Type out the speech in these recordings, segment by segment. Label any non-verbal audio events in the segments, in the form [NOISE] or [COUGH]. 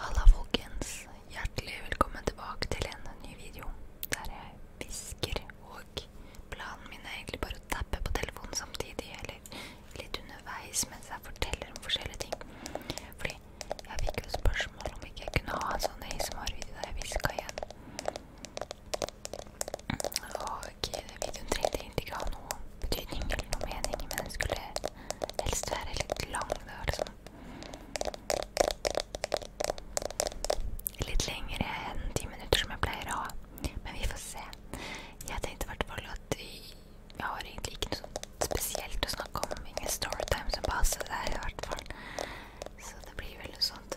Halla, folkens. Hjertelig velkommen tilbake til en ny video der jeg hvisker. Og planen min er egentlig bare å tappe på telefonen samtidig, eller litt underveis mens jeg forteller om forskjellige ting. Fordi jeg fikk jo spørsmål om ikke jeg kunne ha en sånn ASMR-video der jeg hviska igjen. Og videoen trengte egentlig ikke ha noe betydning eller noe mening, men jeg skulle Helst være litt lang, da, liksom. Litt lengre enn ti minutter, som jeg pleier å ha. Men vi får se. Jeg tenkte i hvert fall at vi jeg har egentlig ikke noe spesielt å snakke om. Ingen storytime som passer der, i hvert fall. Så det blir vel noe sånt.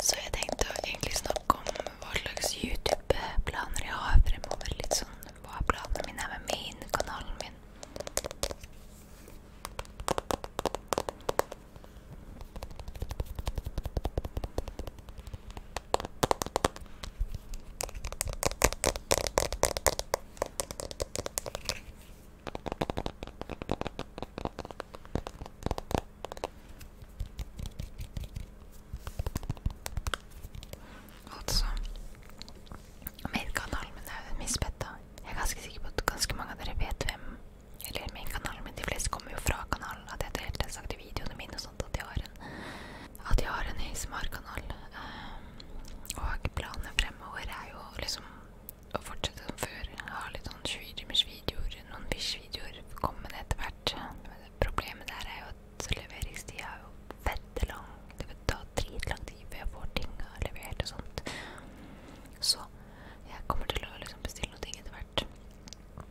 Så jeg tenkte å egentlig snakke om hva slags YouTube-planer jeg har fremover. Litt sånn hva planene mine er med main-kanalen min. Altså Min kanal, men det er jo misbetta. Jeg er ganske sikker på at ganske mange av dere vet hvem Eller min kanal, men de fleste kommer jo fra kanalen. At jeg har helt sagt i videoene mine og sånt at jeg har en At jeg har en ASMR-kanal. Ehm, og planene fremover er jo liksom å fortsette som før. Ha litt sånn 20 timers videoer, noen bish-videoer. Komme med det etter hvert. Problemet der er jo at så leveringstida er jo fette lang. Det vil ta dritlang tid før jeg får tinga levert og sånt. Så jeg kommer til å liksom bestille noe ting etter hvert.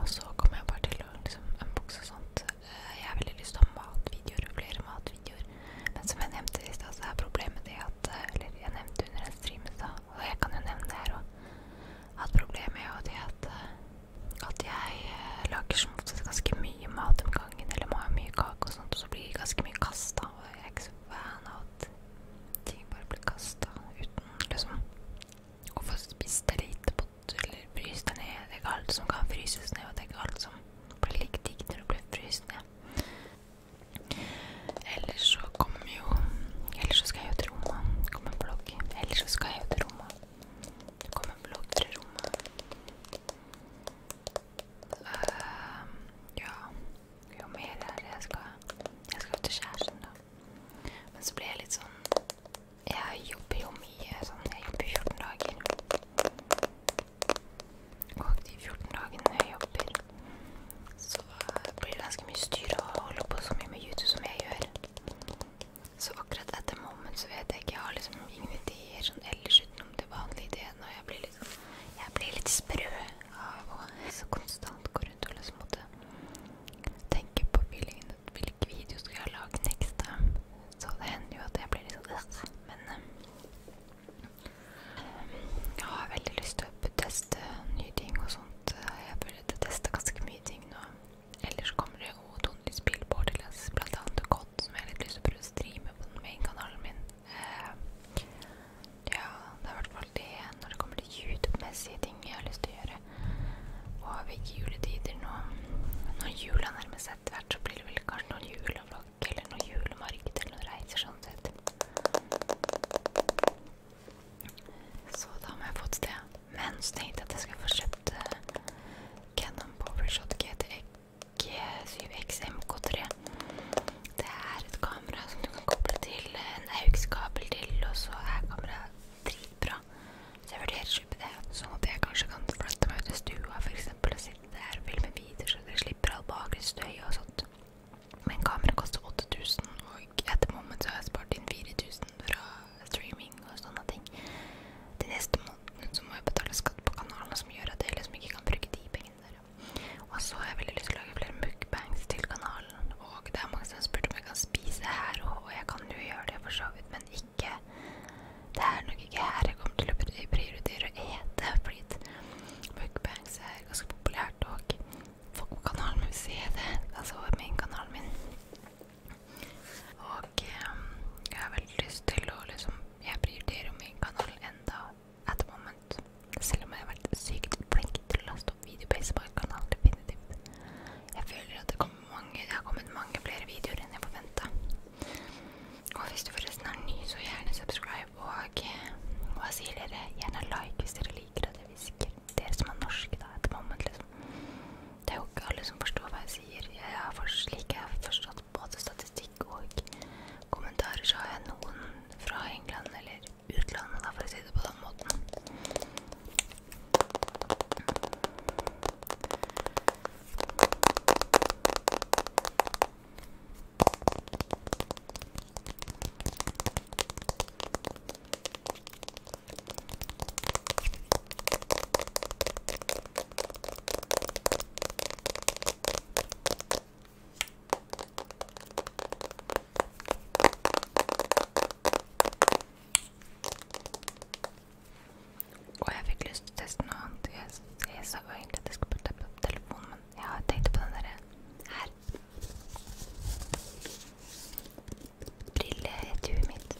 Og så kommer jeg bare til å liksom unboxe og sånt. Eh, jeg har veldig lyst til å ha matvideoer og flere matvideoer. Men som jeg nevnte i stad, så er problemet det at eh, Eller jeg nevnte under en stream i stad, og jeg kan jo nevne det her òg, at problemet er jo det at eh, at jeg eh, lager som oftest ganske mye mat om gangen, eller må ha mye kake og sånt, og så blir det ganske mye kasta. Og jeg er ikke så fan av at ting bare blir kasta uten liksom å få spist det lite på eller fryst det ned. Det er ikke alt som kan fryses ned, og det er ikke alt som blir like digg når det blir fryst ned. Ellers så kommer jo Ellers så skal jeg jo til Roma. Kommer en blogg. Ellers så skal jeg jo til Roma. Det blomsterrommet. Uh, eh, ja Jo mer er det jeg skal Jeg skal til kjæresten, da. Men så blir jeg litt sånn Jeg jobber jo mye sånn. Jeg jobber 14 dager. Og de 14 dagene jeg jobber, så eh, blir det ganske mye styr å holde på så mye med YouTube som jeg gjør. Så akkurat etter moment så vet jeg ikke. Jeg har liksom ingen ideer sånn ellers utenom de vanlige ideene. Og jeg blir litt, sånn, jeg blir litt sprø av å så konstant gå rundt og liksom måtte tenke på feelingen hvilke videoer skal jeg lage next time. Så det hender jo at jeg blir litt sånn Men um, jeg har veldig lyst til å teste nye ting og sånt. Jeg burde teste ganske mye ting nå. Ellers kommer det jo tonnevis spill på Borderlands, bl.a. COD, som jeg har litt lyst til å prøve å streame på den main-kanalen min. Uh, ja, det er i hvert fall det når det kommer til YouTube-messige ting jeg har lyst til å gjøre. Og ved juletider nå, når jula nærmer seg etter hvert, så blir det vel kanskje noen julevlogg eller noe julemarked eller noen reiser sånn sett. Så da må jeg få et sted. Men så tenkte jeg at jeg skulle få kjøpt eh, Cannon Powershot GT7X MK3. Det er et kamera som du kan koble til en AUX-kabel til, og så er kameraet dritbra. Så jeg vurderer å kjøpe det. Sånn at jeg kanskje kan flytte meg ut i stua for eksempel, og sitte der og filme videoer, så dere slipper all bakgrunnsstøy og sånt. Men kameraet koster 8000, og etter moment så har jeg spart inn 4000 fra streaming og sånne ting. De neste månedene så må jeg betale skatt på kanalen, som gjør at jeg liksom ikke kan bruke de pengene der. Og så har jeg veldig lyst til å lage flere mukbangs til kanalen. Og det er mange som har spurt om jeg kan spise her, og jeg kan jo gjøre det for så vidt, men ikke Det er nok ikke her jeg kommer til å prioritere å ete, fordi mukbangs er ganske populært, og folk på kanalen min vil se det. Altså min kanalen min. Og um, jeg har veldig lyst til å liksom Jeg prioriterer jo min kanal enda at the moment. Selv om jeg har vært sykt flink til å laste opp video på SBA-kanalen. Definitivt. Jeg føler at det, mange, det har kommet mange flere videoer enn jeg forventa. Og hvis du forresten er ny, så gjerne subscribe. Og ehm, hva sier dere? Gjerne like hvis dere liker at jeg hvisker. Dere som er norske, da. At the moment, liksom. Det er jo ikke alle som forstår hva jeg sier. Jeg har slik jeg har forstått fått både statistikk og kommentarer, så har jeg noen fra England eller utlandet, da, for å si det på den måten. Og jeg fikk lyst til å teste noe annet. Jeg, jeg sa jo egentlig at jeg skulle putte opp telefonen, men jeg har tenkt på den derre her. Brilleetuiet mitt.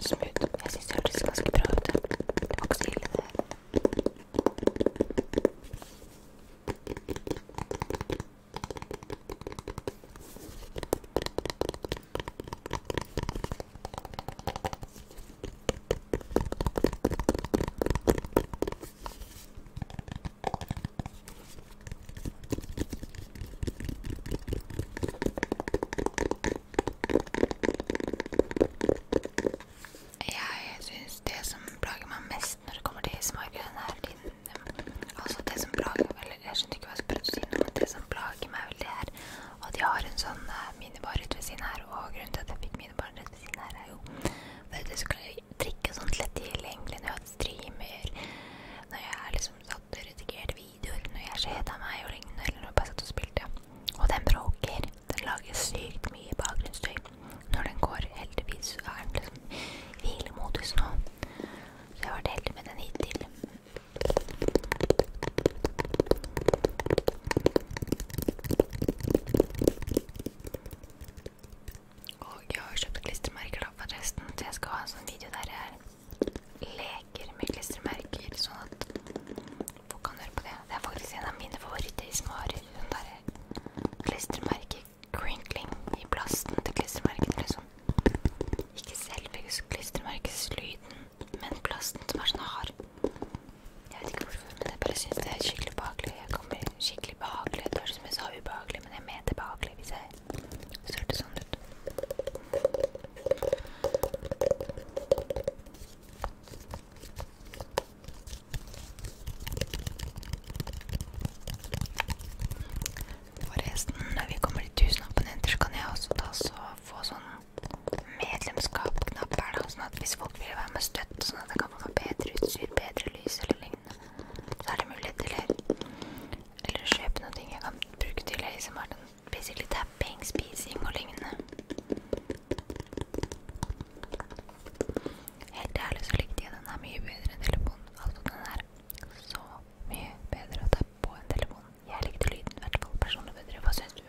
Smooth. Jeg syns det hørtes ganske bra ut. Det var ikke så ille, det her. Jeg syns det som plager meg mest når det kommer til smaken, er din Altså, det som plager Eller jeg skjønner ikke hva jeg skal prøve å si, men det som plager meg veldig, er og de har en sånn eh, minibar rett ved siden her, og grunnen til at jeg fikk minibar rett ved siden her, er jo for at jeg skulle drikke sånt lett tidlig egentlig når jeg streamer, når jeg liksom satt og redigerte videoer, når jeg kjeda meg og lignende, eller når jeg bare satt og spilte. Og den bråker. Den lager sykt mye bakgrunnsstøy. Når den går, heldigvis, så er den liksom hvilemodus nå. Så jeg har vært heldig med den hittil. Og jeg har kjøpt klistremerker da forresten, så jeg skal ha en sånn video der jeg leker med klistremerker, sånn at folk kan høre på det. Det er faktisk en av mine favoritter som har sånn der klistremerke-crinkling i plasten til klistremerkene, liksom. Ikke selve klistremerkeslyden, men plasten som er sånn hard Jeg vet ikke hvorfor, men jeg bare syns det er skikkelig behagelig. Jeg kommer skikkelig behagelig. Det høres ut som jeg sa ubehagelig, men jeg mener behagelig hvis jeg ser det sånn ut. Forresten, når vi kommer til 1000 abonnenter, så kan jeg også ta så få sånn medlemskap-knapp er da, sånn at hvis folk vil være med støtt, sånn at jeg kan få bedre utstyr, bedre lys eller lignende, så er det mulighet til eller, eller kjøpe noen ting jeg kan bruke til ei som er sånn basically tapping, spising og lignende. Helt ærlig så likte jeg den her mye bedre enn telefonen. Altså den er så mye bedre å tappe på enn telefonen. Jeg likte lyden i hvert fall personlig bedre. Hva syns du?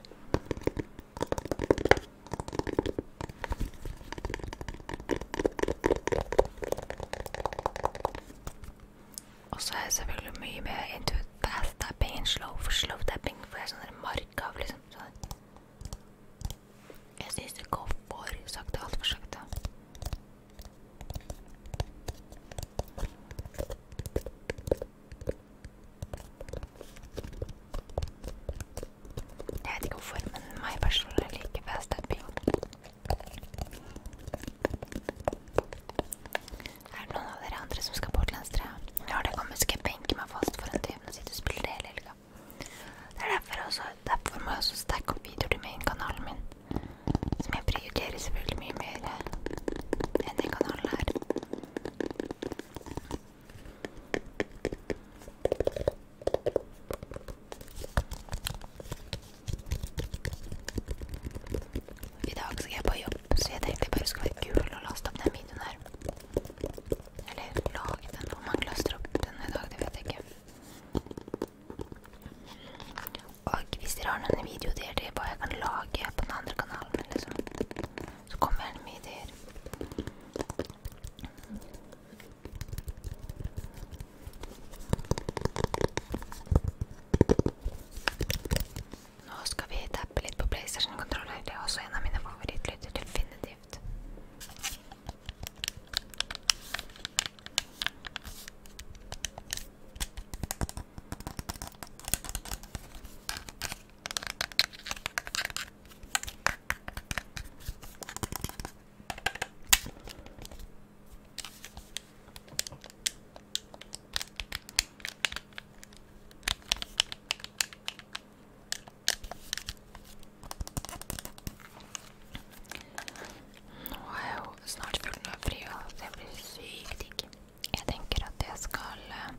Og så er det selvfølgelig mye mer into fast tapping and slow for slow tapping. For det er sånn mark av liksom sånn. Jeg syns det går for sakte. Altfor sakte. Jeg vet ikke hvorfor, men meg personlig liker best den bioen. Er det noen av dere andre som skal på Hortlandsstreet? Når det kommer, skal jeg benke meg fast foran TV og sitte og spille det hele helga. Det er derfor, også, derfor må jeg også stacke opp videoer til min kanalen min. Som jeg prioriterer selvfølgelig mye mer enn den kanalen her. I dag skal jeg på jobb, så jeg tenkte jeg bare skulle være kul og laste opp den videoen her. Eller lage den. Om man laster opp den i dag, det vet jeg ikke. Og hvis dere har noen videoer der til hva jeg kan lage på den andre kanalen, liksom, så kommer gjerne med ideer. Nå skal vi tappe litt på PlayStation-kontroller. Det er også en av mine favorittlyder, definitivt. Nå er jeg jo snart full av fri, og det blir sykt digg. Jeg tenker at jeg skal eh,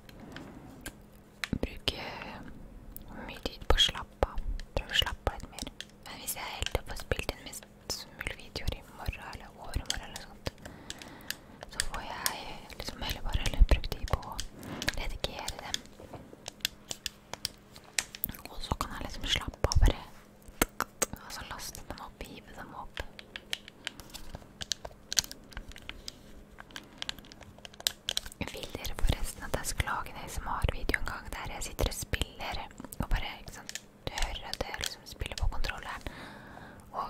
bruke mye tid på å slappe av. Prøve å slappe av litt mer. Men hvis jeg helt opp får spilt inn mest mulig videoer i morgen eller overmorgen eller sånt, så får jeg liksom heller bare heller brukt tid på å redigere dem. Og så kan jeg liksom slappe av bare Altså laste dem opp, hive dem opp. Vil dere forresten at jeg skal lage en ASMR-video en gang der jeg sitter og spiller og bare ikke sant, hører at jeg liksom spiller på kontrolleren? Og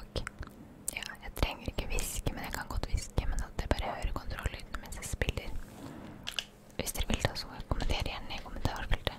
ja, jeg trenger ikke hviske, men jeg kan godt hviske. Men at jeg bare hører kontrolllyden mens jeg spiller. Hvis dere vil, da, så kommenter gjerne i kommentarfeltet.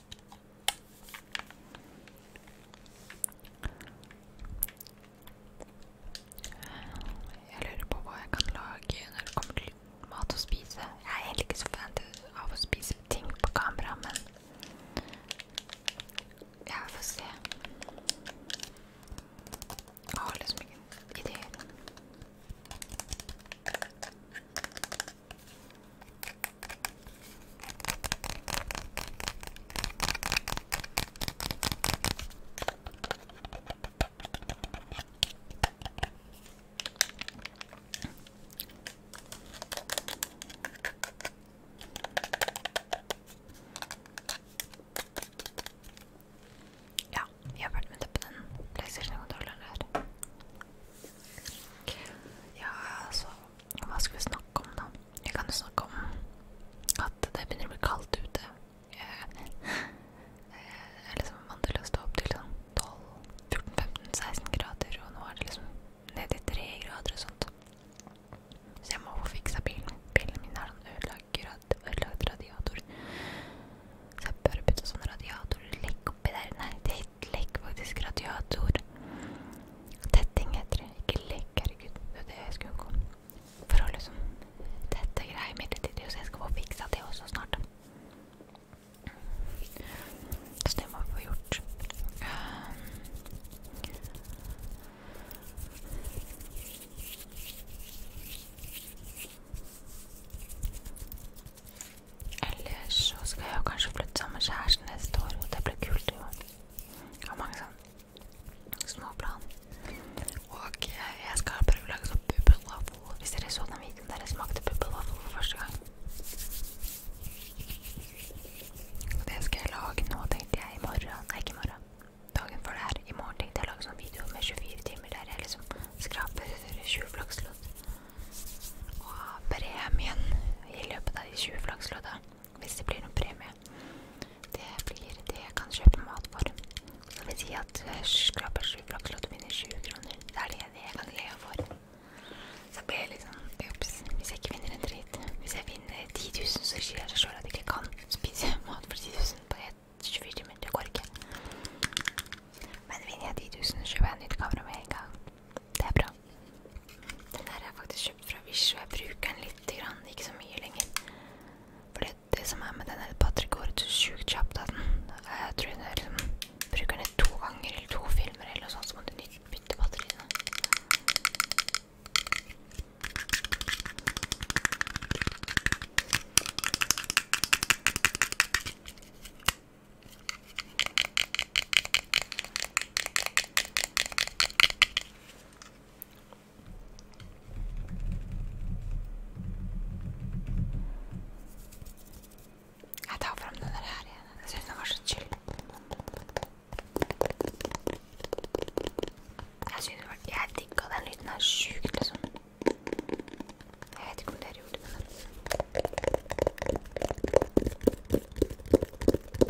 Jeg lurer på hva jeg kan lage når det kommer til mat å spise. Jeg er heller ikke så fan av å spise ting på kamera, men jeg får se. Jeg har liksom ingen ideer. Ja, jeg har vært med til på den PlayStation-kontrolleren der. Ja, så hva skal vi snakke om, da? Vi kan jo snakke om at det begynner å bli kaldt ute. Jeg, jeg er liksom vant til å stå opp til sånn 12-14-15-16 grader, og nå er det liksom ned i 3 grader og sånt. Så jeg må få fiksa bilen. Bilen min er sånn ødelagt, ødelagt radiator. Så jeg bør bytte sånn radiator. Legg oppi der. Nei, det legg faktisk radiator. Tetting heter det. Ikke lek, herregud. Det er det jeg skulle unngå. For å liksom tette greier midlertidig. Så jeg skal få fiksa det også snart. Så det må vi få gjort. Ellers så skal jeg jo kanskje flytte sammen med kjæresten neste år, og det blir kult. Jo. Jeg har mange sånne små plan. Og jeg skal prøve å lage sånn bubbelvaffel. Hvis dere så den videoen der jeg smakte bubbelvaffel for første gang. Og det skal jeg lage nå, tenkte jeg, i morgen. Nei, ikke i morgen. Dagen før det her. I morgen tenkte jeg å lage sånn video med 24 timer der jeg liksom skraper 20 flakslodd. Og premien i løpet av de 20 flakslodda hvis det blir noen premie. Det blir det jeg kan kjøpe mat for. Så det vil si at eh, skrapesju flakslodd vinner 20 kroner. Det er det jeg kan leve for. Så blir jeg litt liksom, sånn Ops. Hvis jeg ikke vinner en dritt Hvis jeg vinner 10 000, så sier jeg sjøl at jeg ikke kan spise mat for 10 000 på 24 timer. Det går ikke. Men vinner jeg 10 000, kjøper jeg nytt kamera med en gang. Det er bra. Den her er faktisk kjøpt fra Wish, og jeg bruker den lite grann, ikke så mye lenger. For det, det som er med den her Patrick går så sjukt kjapt av den. Jeg tror jeg liksom, bruker den to ganger eller to filmer eller noe sånt, så må du bytte batteriene. Jeg tar fram den der her igjen. Jeg syns den var så chill. Jeg synes det var, jeg digga den lyden her sjukt, liksom. Jeg vet ikke om dere gjorde det, men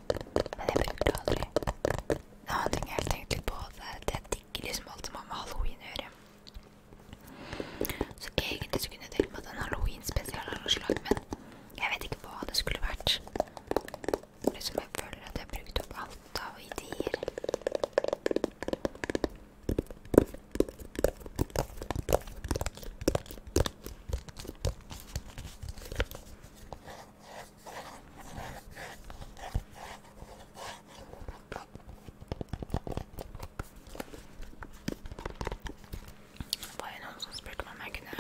Men jeg bruker det aldri. En annen ting jeg har tenkt litt på, det er at jeg digger liksom alt som har med halloween å gjøre. Så egentlig så kunne jeg tenkt meg en halloween-spesial av noe slag, men jeg vet ikke hva det skulle vært. Liksom jeg føler at jeg har brukt opp alt av ideer. Det var jo noen som spurte meg om jeg kunne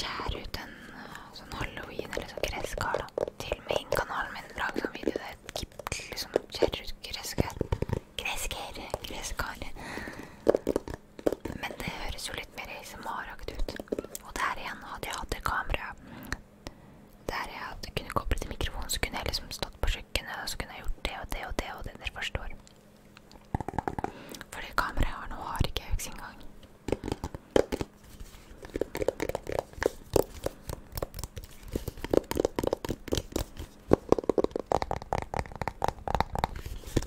skjære ut en eh, sånn halloween eller sånn gresskar. da. Til og med innen kanalen min lager sånn video der jeg liksom skjærer ut gresskar. Gresskar, gresskar. Men det høres jo litt mer ASMR-aktig ut. Og der igjen hadde jeg hatt det kameraet der jeg kunne koblet til mikrofonen, så kunne jeg liksom stått på kjøkkenet og så kunne jeg gjort det og det og det. og det dere forstår. For det kameraet jeg har nå, har ikke Aux engang.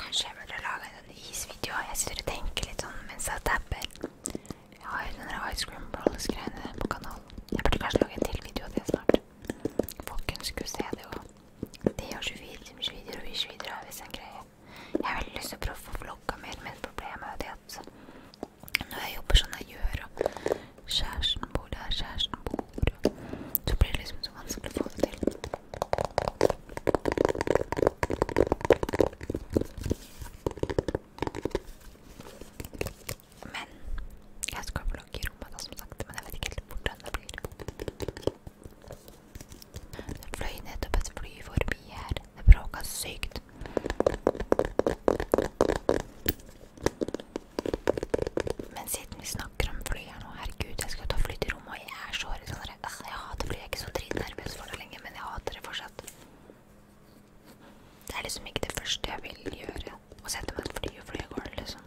Kanskje jeg burde lage en isvideo. Jeg sitter og tenker litt sånn mens jeg tapper. Jeg har den der Ice Cream Brawlers-greiene på kanalen. Jeg burde kanskje lage en til video av det snart. Folkens skulle se det òg. De har 24 timers videoer og vi videoer av hvis en greie. Jeg har veldig lyst til å prøve å få vlogga mer, men problemet er det at når jeg jobber sånn jeg gjør, og kjæresten bor der kjæresten bor, så blir det liksom så vanskelig å få det til. Men jeg skal blogge i rommet, da, som sagt. Men jeg vet ikke helt hvordan det blir. Det fløy nettopp et fly forbi her. Det bråka sykt. Men siden vi snakker om fly her nå Herregud, jeg skal ta fly til rommet, og jeg er så redd. Altså, jeg hater fly. Jeg er ikke så dritnervøs for det lenger, men jeg hater det fortsatt. Det er liksom ikke det første jeg vil gjøre. Å sette meg fly og fly av liksom.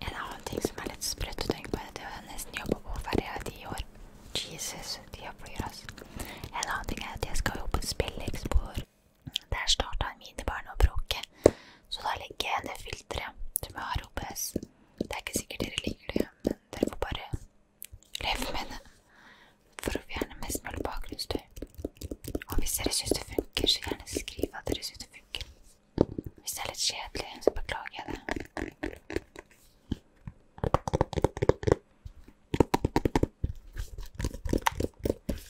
En annen ting som er litt sprøtt å tenke på, er at jeg har nesten jobba på ferja i ti år. Jesus, tida flyr, altså. En annen ting er at jeg skal jobbe på Spillekspor. Der starta en minibarn å bråke, så da legger jeg ned filteret som jeg har OBS. Det er ikke sikkert dere liker det, men dere får bare leve med det for å fjerne mest mulig bakgrunnsstøy. Og hvis dere syns det funker, så gjerne skriv at dere syns det funker. Hvis det er litt kjedelig, så beklager jeg det.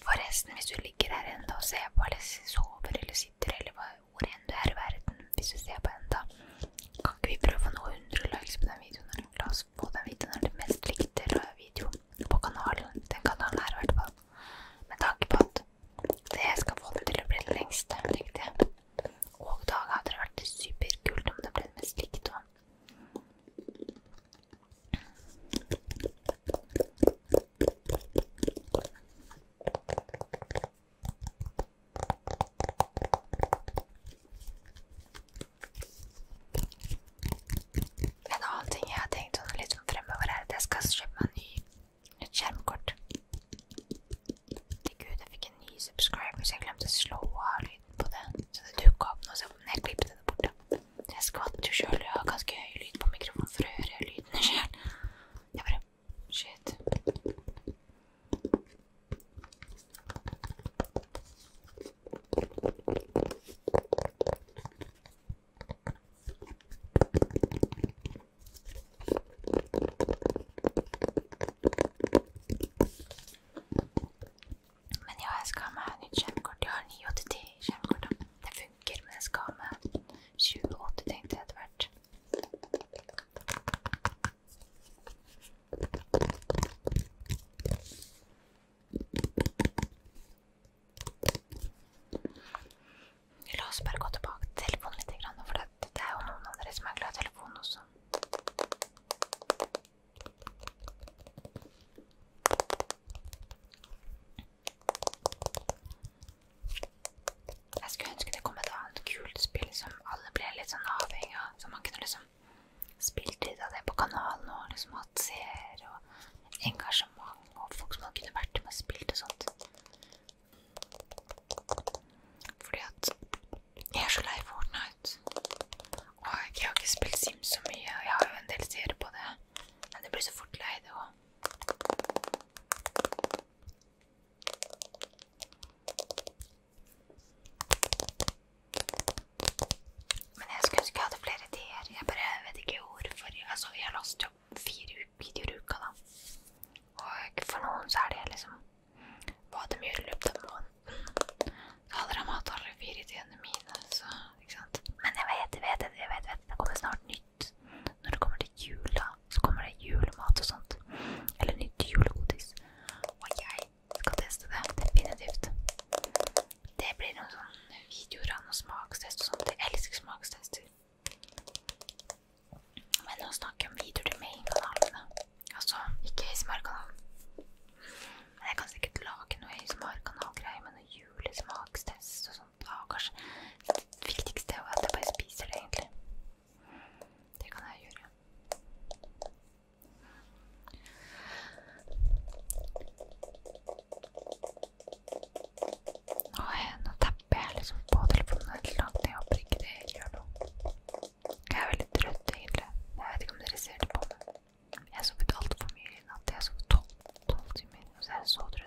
Forresten, hvis du ligger her ennå og ser på, eller sover eller sitter, eller hvor enn du er i verden Hvis du ser på enda, kan ikke vi prøve å nå 100 likes på den videoen? Eller? La oss få den videoen er den mest likte videoen på kanalen. Den kanalen her, i hvert fall. Med tanke på at det skal få det til å bli den lengste, tenkte jeg. Og da hadde det vært superkult om det ble den mest likte òg. En annen ting jeg har tenkt litt fremover, er at jeg skal kjøpe meg en ny et skjermkort. Til gud, jeg fikk en ny subscriber, så jeg glemte å slå av lyden på det. Så det dukka opp noe, så jeg klippet det borte. Jeg skvatt jo sjøl, jeg har ganske høy lyd på mikrofonen for å høre lydene sjøl. Jeg bare Shit. Men ja, jeg skal ha meg nytt skjermkort. Jeg har 980-skjermkort. Det funker, men jeg skal ha meg 2080, tenkte jeg etter hvert. La oss bare gå tilbake til telefonen litt, for det, det er jo noen av dere som er glad i telefonen også. Jeg skulle ønske det kom et annet kult spill som alle ble litt sånn avhengig av. Så man kunne liksom spilt litt av det på kanalen og liksom hatt seere og engasjement og folk som man kunne vært med og spilt og sånt. Fordi at jeg er så lei Fortnite. Og jeg har ikke spilt Sims så mye. Jeg har jo en del seere på det, men det blir så fort lei det òg. Men jeg skulle ønske jeg hadde flere tider. Jeg bare vet ikke hvorfor. Altså, jeg har last jo ja, fire videoer i uka, da. Og for noen så er det liksom hva de gjør i løpet av måneden. Så hadde de hatt alle fire tidene mine, så ikke sant. Men jeg vet, jeg vet, jeg vet, vet. det kommer snart nytt. Når det kommer til jul, da, så kommer det julemat og sånt. Eller nytt julegodis. Og jeg skal teste det definitivt. Det blir noen sånne videoer av noen smakstest og sånt. Jeg elsker smakstester. Men å snakke om videoer til main-kanalene Altså, ikke ASMR-kanalen. Men jeg kan sikkert lage noe ASMR-kanalgreier med noe julesmakstest og sånt. Ja, kanskje det viktigste er jo at jeg bare spiser det, egentlig. Det kan jeg gjøre. Nå, nå hjelper jeg liksom på telefonen et eller annet. Jeg håper ikke det gjør noe. Jeg er veldig trøtt, egentlig. Jeg vet ikke om dere ser det på meg. Jeg har sovet altfor mye i natt. Jeg har sovet tolv timer, og så er jeg så trøtt.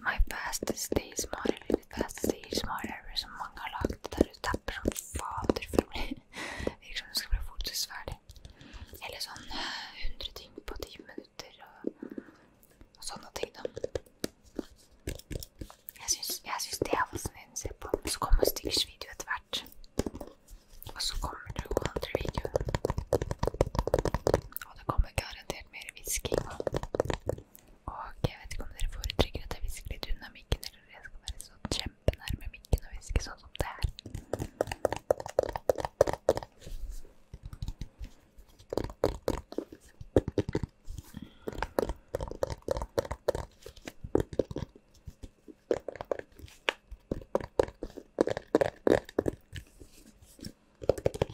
My fastest day is smart, eller fastest day is smart ever, som mange har lagd. Der du tapper som fader for å bli [LAUGHS] Virker som du skal bli fokusferdig. Eller sånn 100 eh, ting på 10 minutter og, og sånne ting, da. Jeg syns det er fascinerende å se på. Så kommer Stiggers video etter hvert. Og så kommer det jo andre videoer. Og det kommer garantert mer hvisking og og jeg vet ikke om dere foretrekker at jeg hvisker litt unna mikken, eller jeg skal være så sånn kjempenærme mikken og hviske sånn som det her.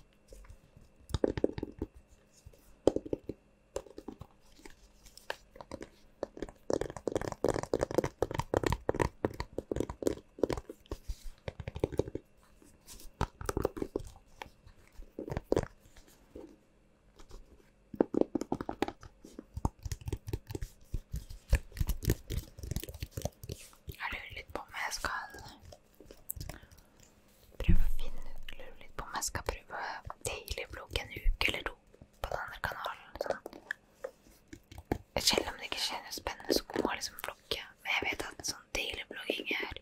Jeg lurer litt på om jeg skal Prøve å finne ut lure litt på om jeg skal prøve daily blogg en uke eller to på den andre kanalen. Sånn. Selv om det ikke skjer noe spennende, så kommer jeg liksom vlogge. Men jeg vet at sånn daily blogging er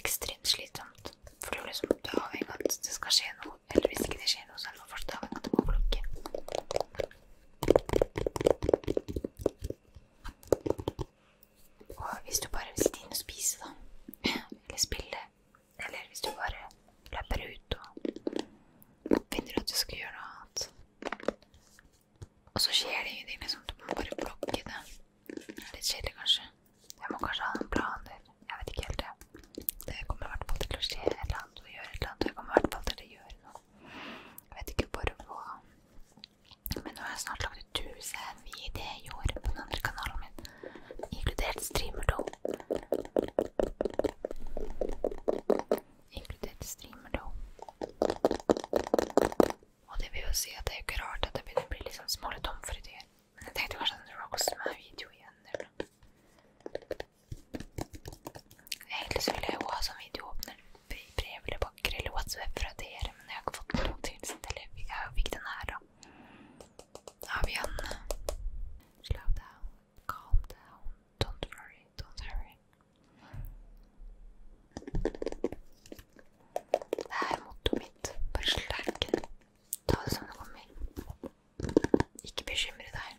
ekstremt slitsomt. For du, liksom, du er avhengig av at det skal skje noe. Eller hvis ikke det skjer noe, så er man fortsatt avhengig av at du må vlogge. Og hvis du bare vil sitte inne og spise, da, eller spille, eller hvis du bare løper ut og finner at du skal gjøre noe annet Og så skjer det ingenting, liksom. Du må bare blokke det. Litt kjedelig, kanskje. Jeg må kanskje ha noen planer. Jeg vet ikke helt det. Det kommer i hvert fall til å skje et eller annet. Og gjøre et eller annet. Jeg kommer i hvert fall til å gjøre noe. Jeg vet ikke bare hva men nå har jeg snart lagd ut 1000 videoer i år på den andre kanalen min, inkludert streamerdo. Inkludert streamerdo. Og det vil jo si at det er jo ikke rart at det begynner å bli litt sånn smålig tom for ideer. Men jeg tenkte kanskje at det var også med video igjen. eller noe. Egentlig så ville jeg jo ha sånn videoåpner brev eller pakker eller whatsoever fra dere, men jeg har ikke fått noe tilsendt. Eller jeg fikk den her, da. Da har vi en Slow down, calm down, don't worry, don't hurry. Det er mottoet mitt. Bare slack. Ta det som det kommer. Ikke bekymre deg.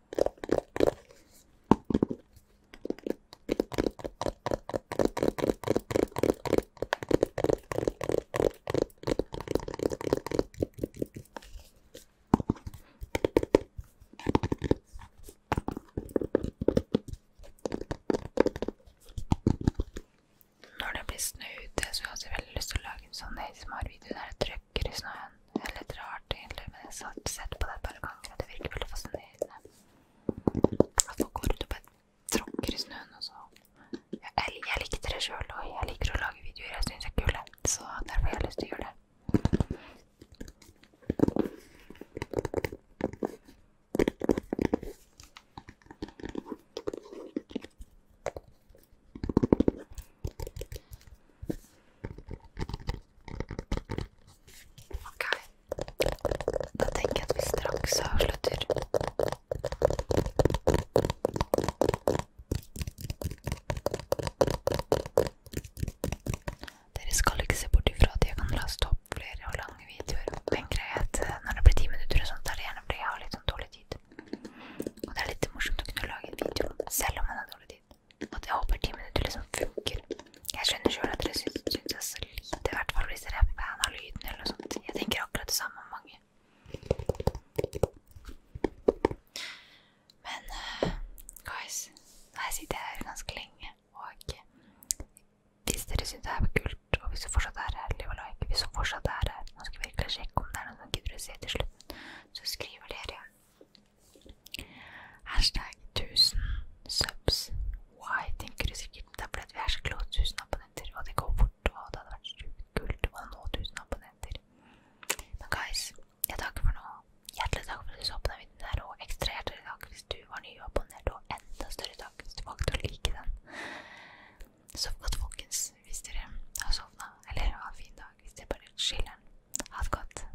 Når det blir snø ute, så har jeg også veldig lyst til å lage en sånn ASMR-video der jeg trykker i snøen. Det er litt rart, egentlig, men jeg har sett på det et par ganger, og det virker veldig fascinerende. At folk går ut og bare tråkker i snøen, og så sånn. Jeg, jeg, jeg likte det sjøl, og jeg liker å lage videoer jeg syns er kule, så derfor har jeg lyst til å gjøre det. Ok, da tenker jeg at vi straks avslutter. Dere skal ikke se bort ifra at jeg kan laste opp flere og lange videoer. Men greit, eh, når det blir ti minutter og sånt, er det gjerne fordi jeg har litt sånn dårlig tid. Og det er litt morsomt å kunne lage en video selv om man har dårlig tid. At jeg håper ti minutter liksom funker. Jeg skjønner sjøl at dere syns det er så lite, i hvert fall hvis dere er fan av lyden eller noe sånt. Jeg tenker akkurat det samme om mange. Men uh, guys, her sitter jeg her ganske lenge, og eh, hvis dere syns det her var kult, og hvis du fortsatt er her, liv og like, hvis du fortsatt er her Nå skal jeg virkelig sjekke om det er noen som gidder å se til slutten, så skriver dere Hashtag 1000 subs. Why, tenker du sikkert. Det er fordi vi er så close 1000 abonnenter, og det går fort. Og det hadde vært sjukt kult å nå 1000 abonnenter. Men guys, jeg takker for nå. Hjertelig takk for at du så på den videoen her, og ekstra hjertelig takk hvis du var nyabonnert, og enda større takk hvis du valgte å like den. Sov godt, folkens, hvis dere har sovna, eller ha en fin dag hvis dere bare chiller'n. Ha det godt.